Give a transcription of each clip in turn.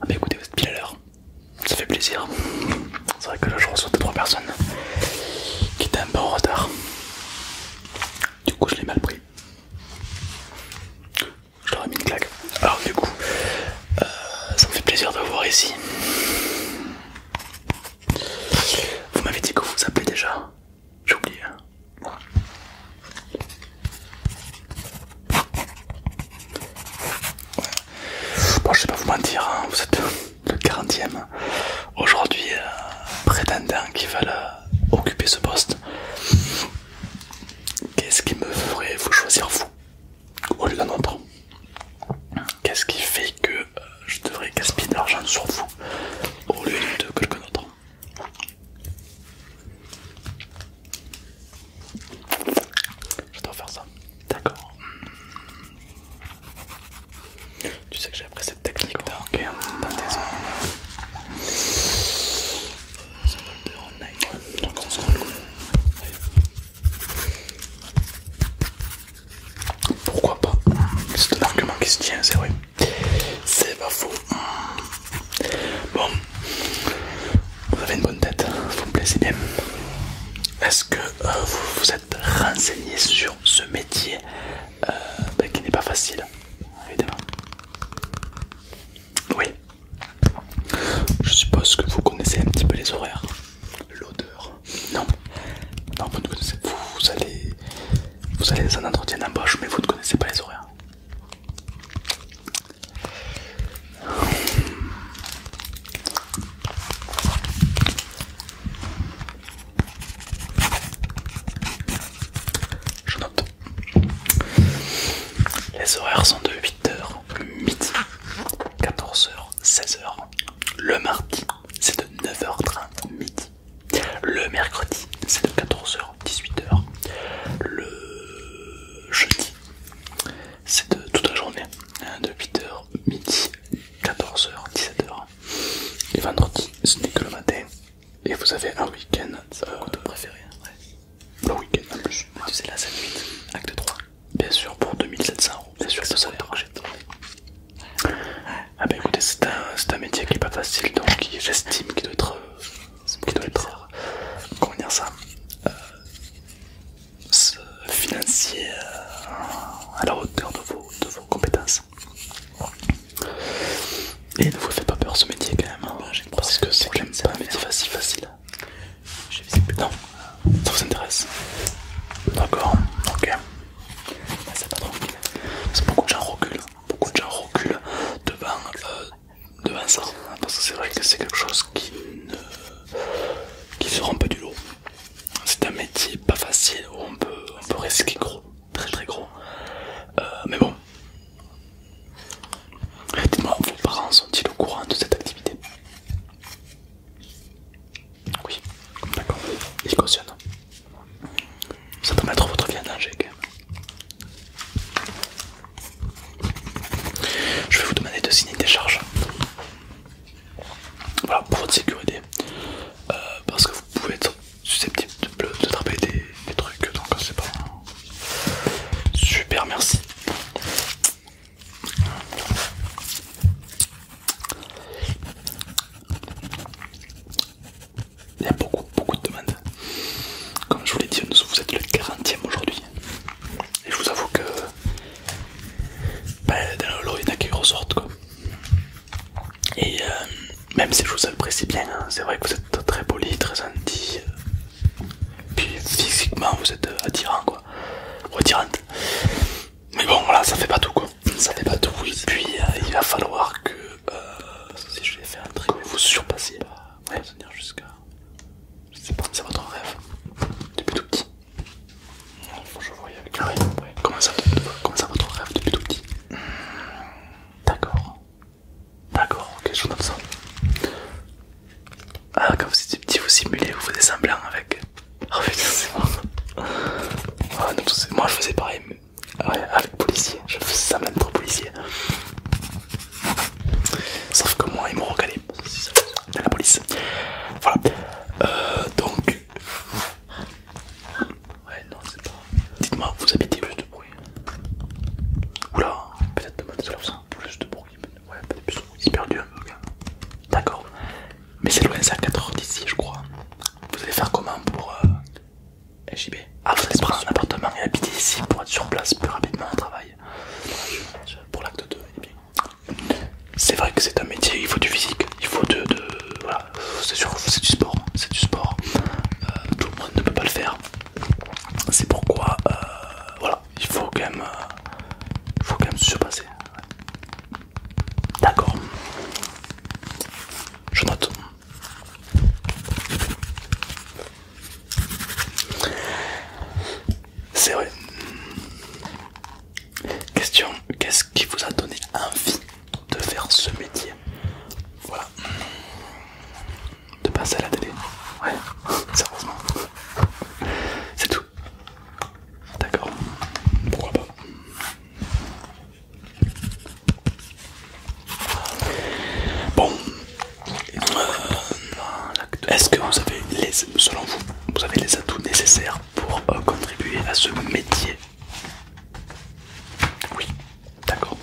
Ah bah écoutez, vous êtes pile à l'heure, ça fait plaisir. C'est vrai que là je reçois 2-3 personnes qui étaient un peu en retard. Du coup je l'ai mal pris. Je leur ai mis une claque. Alors du coup, euh, ça me fait plaisir de vous voir ici. Vous m'avez dit que vous vous appelez déjà j'ai oublié. Hein. Bon, je sais pas vous mentir, hein, vous êtes le 40e aujourd'hui euh, prétendant qui va euh, occuper ce poste. Qu'est-ce qui me ferait vous choisir vous au lieu d'un autre Qu'est-ce qui fait que euh, je devrais gaspiller de l'argent sur vous au lieu de quelqu'un d'autre je dois faire ça. D'accord. Tu sais que j'ai appris cette technique D'accord. dans hein. tes C'est Ça va le Donc on se rend Pourquoi pas C'est un argument qui se tient, c'est vrai. C'est pas faux. Bon, vous avez une bonne tête, vous me même. bien. Est-ce que euh, vous vous êtes renseigné sur ce métier euh, ben, qui n'est pas facile, évidemment Oui. Je suppose que vous connaissez un petit peu les horaires, l'odeur. Non, non, vous ne connaissez. Vous allez vous allez dans un entretien d'embauche, mais vous ne connaissez pas les horaires. Je note. Les horaires sont de 8h midi, 14h, 16h. Le mardi, c'est de 9h30 midi. Le mercredi, c'est de 14h 18h. Le jeudi, c'est de toute la journée, hein, de 8h, midi, 14h, 17h. Et vendredi, ce n'est que le matin. Et vous avez un week-end. C'est euh, préféré hein. Le week-end en plus. Tu la 7-8, acte 3. Bien sûr, pour 2700 euros. Bien sûr, le salaire. Ah bah écoutez, c'est un, métier qui n'est pas facile, donc j'estime qu'il doit être, euh, doit être euh, comment dire ça, euh, ce financier euh, à la hauteur de vos, de vos compétences. Et ne vous faites pas peur ce métier quand même, hein, parce que c'est pas un métier facile, facile. Non, ça vous intéresse D'accord, ok. Ah, c'est pas tranquille. Parce que beaucoup de gens beaucoup de gens reculent euh, devant, ça, parce que c'est vrai que c'est quelque chose qui qui se rend pas du lot. C'est un métier pas facile où on peut, peut risquer gros, très très gros. Euh, mais bon, dites-moi, vos parents sont-ils au courant de cette activité Oui, d'accord, ils cautionnent. Ça peut mettre votre viande, en Je vais vous demander de signer des charges. Voilà, pour votre sécurité. Euh, parce que vous pouvez être susceptible de, de des, des trucs, donc c'est pas... Super, merci. Il y a beaucoup, beaucoup de demandes. Comme je vous l'ai dit, vous êtes le 40e aujourd'hui. Et je vous avoue que ben, dans le lot, il y en a qui ressortent. Quoi. Et euh, même si je vous apprécie bien, hein, c'est vrai que vous êtes très poli, très gentil. Euh, puis physiquement, vous êtes euh, attirant, quoi. Retirante. Mais bon, voilà, ça fait pas tout quoi. Ça fait pas tout, oui. Puis euh, il va falloir que. Euh, si je vais faire un truc, vous surpassez. Bah, tenir jusqu'à. Je sais pas, c'est votre rêve. Depuis tout petit. je avec ah, Comment ça, comment ça votre rêve depuis tout petit D'accord. D'accord, ok, je donne ça. Ah, quand vous étiez petit, vous simulez, vous faisiez semblant avec. Oh, c'est oh, Moi je faisais pareil, avec policier. Je faisais ça même pour policier. Sauf que moi, ils m'ont recalé. C'est la police. Voilà. Euh, donc. Ouais, non, c'est pas. Dites-moi, vous habitez plus de bruit Oula, peut-être de c'est là Plus de bruit. Ouais, peut-être plus de bruit. perdu un peu, D'accord. Mais c'est loin, c'est à 4h d'ici, je crois. Vous allez faire comment pour euh... Ah, vous allez se prendre un appartement et habiter ici pour être sur place plus rapidement au travail. Pour l'acte 2, C'est vrai que c'est un métier, il faut du physique, il faut de. voilà, c'est sûr, que c'est du sport, c'est du sport. Euh, tout le monde ne peut pas le faire. C'est pourquoi, euh, voilà, il faut quand même, euh, Il faut quand même se surpasser. D'accord. Je note. C'est vrai. Question, qu'est-ce qui vous a donné envie de faire ce métier Voilà. De passer à la télé. Ouais, sérieusement. C'est tout. D'accord, pourquoi pas. Bon, euh, est-ce que vous avez les, selon vous, vous avez les atouts nécessaires pour euh, contribuer à ce métier Oui, d'accord.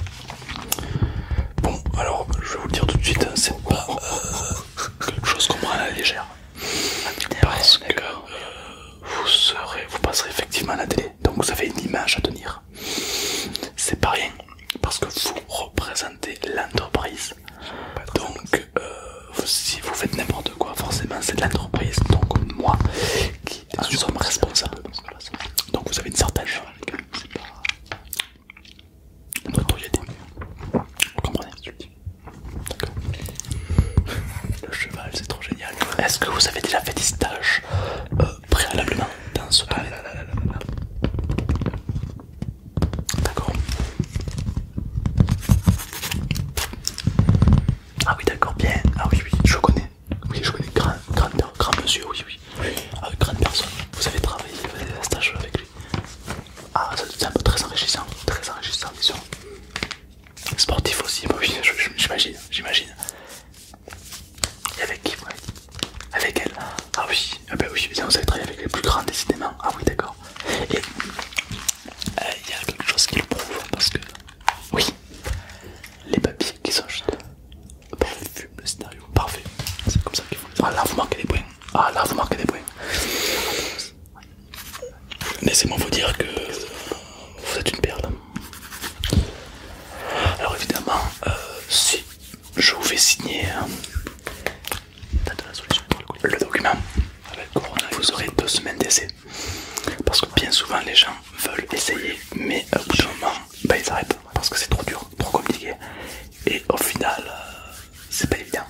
Bon, alors je vais vous le dire tout de suite, hein, c'est pas euh, quelque chose qu'on prend à la légère parce que euh, vous serez, vous passerez effectivement à la télé, donc vous avez une image à tenir. C'est pas rien, parce que vous représentez l'entreprise. Donc, euh, si vous faites n'importe quoi, forcément c'est de l'entreprise, donc moi qui ah, en responsable. Donc vous avez une certaine notoriété. Vous comprenez d'accord Le cheval, c'est trop génial. Est-ce que vous avez déjà fait des stages euh, préalablement dans ce non D'accord. Ah oui, d'accord, bien. Ah oui, oui, je connais. Oui, je connais. grand monsieur, oui, oui. Avec ah, grande personne. Vous avez travaillé, vous avez fait des stages avec lui. Ah, c'est un peu très enrichissant, très enrichissant, bien sûr. Sportif aussi, oui, j'imagine, j'imagine. Et avec qui Avec elle Ah oui, ah bah oui, vous avez travaillé avec les plus grands décidément. Ah oui, d'accord. Et euh, il y a quelque chose qui le prouve parce que, oui, les papiers qui sont juste parfait, le scénario parfait. C'est comme ça qu'il faut. Ah là, vous marquez des points. Ah là, vous marquez des points. Laissez-moi vous dire que vous êtes une perle. Alors évidemment, euh, si je vous fais signer hein, le document, vous aurez deux semaines d'essai. Parce que bien souvent les gens veulent essayer, mais euh, au bout moment, bah, ils arrêtent parce que c'est trop dur, trop compliqué. Et au final, euh, c'est pas évident.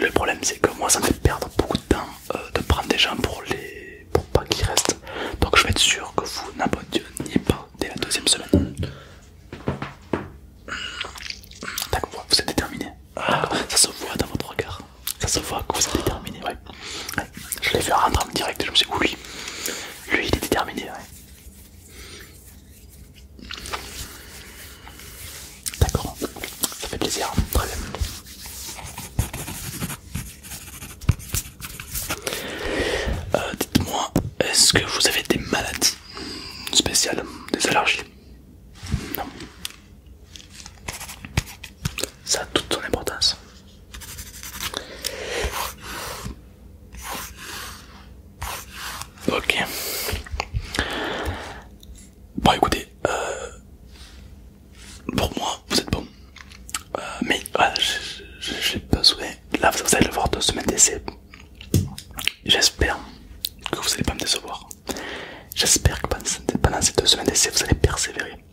Le problème c'est que moi ça me fait perdre beaucoup de temps euh, de prendre des gens pour les pour pas qu'ils restent. Donc je vais être sûr que vous n'abandonniez pas dès la deuxième semaine. D'accord, vous êtes déterminé. Ah. ça se voit dans votre regard. Ça se voit que vous êtes déterminé, ouais. Je l'ai vu rentrer en direct je me suis dit oui. Lui il est déterminé, D'accord, ça fait plaisir, très bien. Euh, dites-moi, est-ce que vous avez des maladies spéciales, des allergies Non. Ça a toute son importance. Ok. Bon écoutez, euh, pour moi vous êtes bon. Euh, mais voilà, j'ai besoin. Là vous allez voir deux semaines d'essai. J'espère que vous allez pas me décevoir. J'espère que pendant ces deux semaines d'essai vous allez persévérer.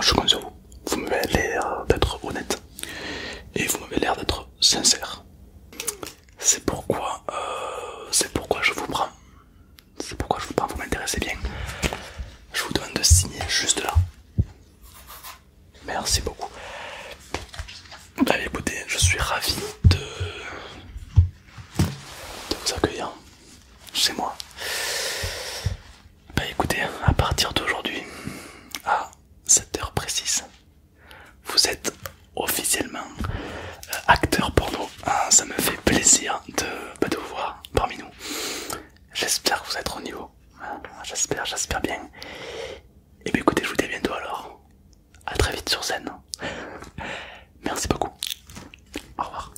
Je compte sur vous. Vous m'avez l'air d'être honnête et vous m'avez l'air d'être sincère. C'est pourquoi, euh, c'est pourquoi je vous prends. C'est pourquoi je vous prends. Vous m'intéressez bien. Je vous demande de signer juste là. Merci beaucoup. Bah, écoutez, je suis ravi de, vous accueillir chez moi. Bah écoutez, à partir d'aujourd'hui, à 7h précise, vous êtes officiellement euh, acteur porno. Ah, ça me fait plaisir bah, de, vous voir parmi nous. J'espère que vous êtes au niveau. Ah, j'espère, j'espère bien. Et eh bien écoutez, je vous dis à bientôt alors. A très vite sur scène. Merci beaucoup. Au revoir.